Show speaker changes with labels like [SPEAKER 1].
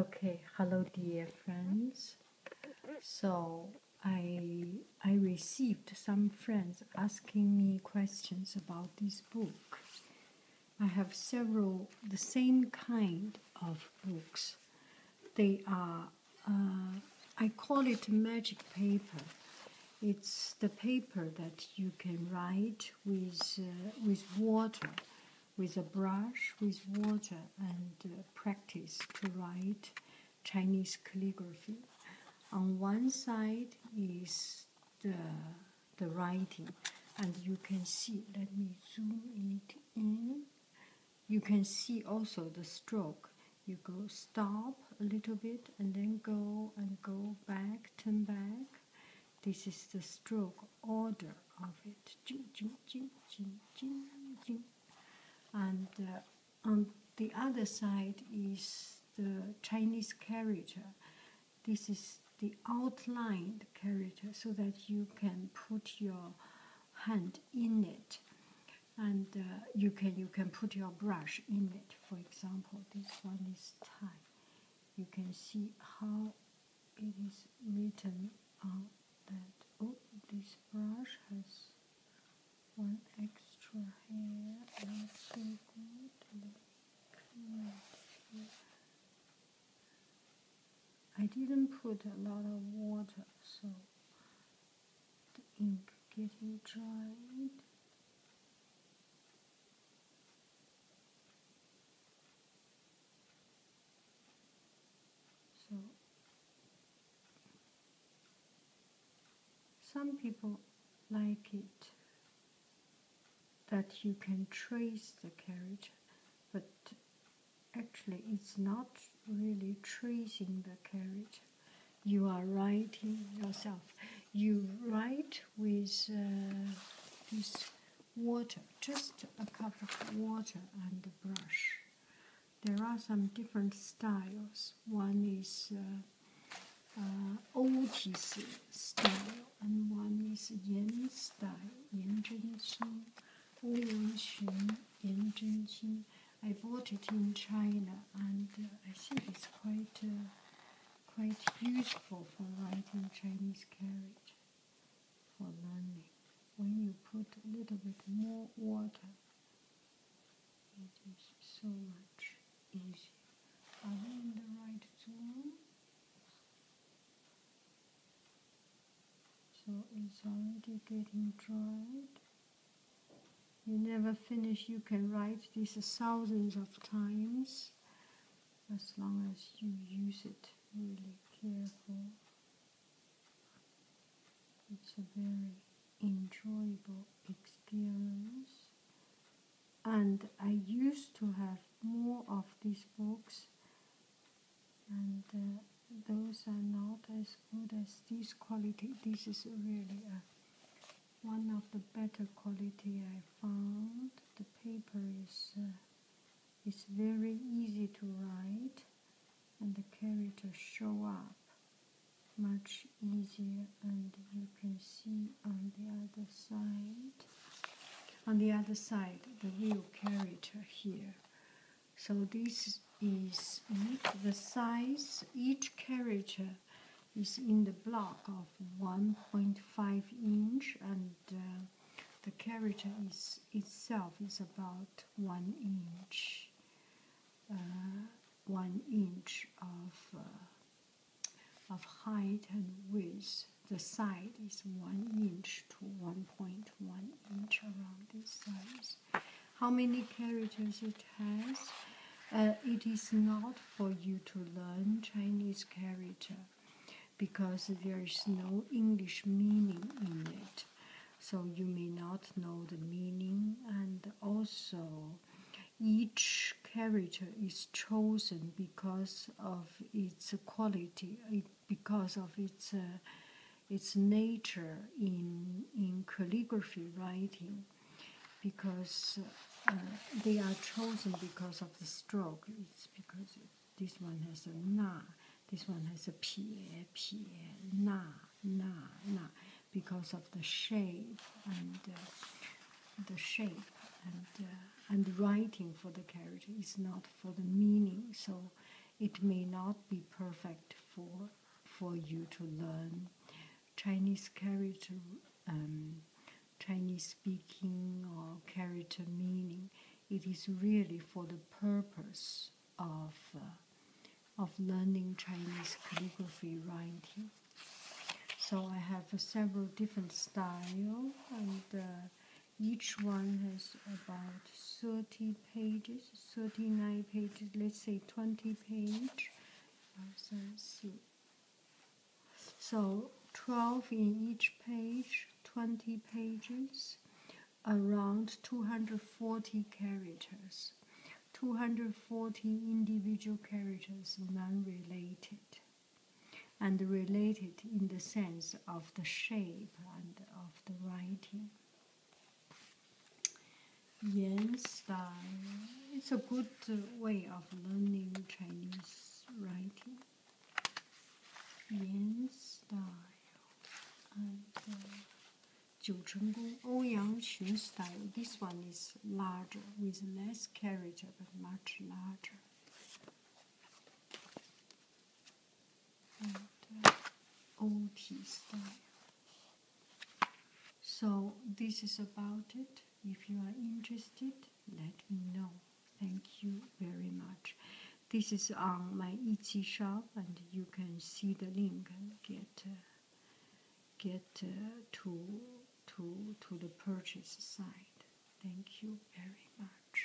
[SPEAKER 1] Okay, hello dear friends. So I I received some friends asking me questions about this book. I have several the same kind of books. They are uh, I call it magic paper. It's the paper that you can write with uh, with water with a brush, with water, and uh, practice to write Chinese calligraphy. On one side is the, the writing, and you can see, let me zoom it in. You can see also the stroke. You go stop a little bit and then go and go back, turn back. This is the stroke order of it. And uh, on the other side is the Chinese character. This is the outlined character so that you can put your hand in it and uh, you can you can put your brush in it for example this one is time you can see how it is written on that. Oh, this brush has one extra hair. so good. I didn't put a lot of water, so the ink getting dried. So, some people like it that you can trace the character, but actually, it's not really tracing the character. You are writing yourself. You write with uh, this water, just a cup of water and a brush. There are some different styles. One is uh, uh, style, and one is Yin style, Yin Zhenxin, Wu Wenxun, Yin Zhenxin. I bought it in China, and uh, I think it's quite uh, quite useful for writing Chinese characters for learning. When you put a little bit more water, it is so much easier. Are we in the right zone? So it's already getting dried you never finish you can write these thousands of times as long as you use it really careful it's a very enjoyable experience and i used to have more of these books and uh, those are not as good as this quality this is really a one of the better quality I found. The paper is uh, very easy to write and the characters show up much easier and you can see on the other side on the other side the real character here so this is the size each character is in the block of 1.5 inch and uh, the character is itself is about 1 inch uh, 1 inch of uh, of height and width the side is 1 inch to 1.1 inch around this size how many characters it has. Uh, it is not for you to learn Chinese character because there is no English meaning in it. So you may not know the meaning, and also each character is chosen because of its quality, because of its uh, its nature in in calligraphy writing because uh, they are chosen because of the stroke it's because this one has a na this one has a pie pie na na na because of the shape and uh, the shape and uh, and writing for the character is not for the meaning so it may not be perfect for for you to learn Chinese character, um, Chinese speaking or character meaning. It is really for the purpose of uh, of learning Chinese calligraphy writing. So I have several different style and uh, each one has about 30 pages, 39 pages, let's say 20 page. So 12 in each page, 20 pages, around 240 characters. 240 individual characters non-related and related in the sense of the shape and of the writing. Yes, style. Uh, it's a good uh, way of learning Chinese writing. Yan style uh, and uh, Jiu Cheng Ouyang oh style. This one is larger with less character but much larger. Old OG style. So this is about it. If you are interested, let me know. Thank you very much. This is on my Etsy shop, and you can see the link and get uh, get uh, to to to the purchase side. Thank you very much.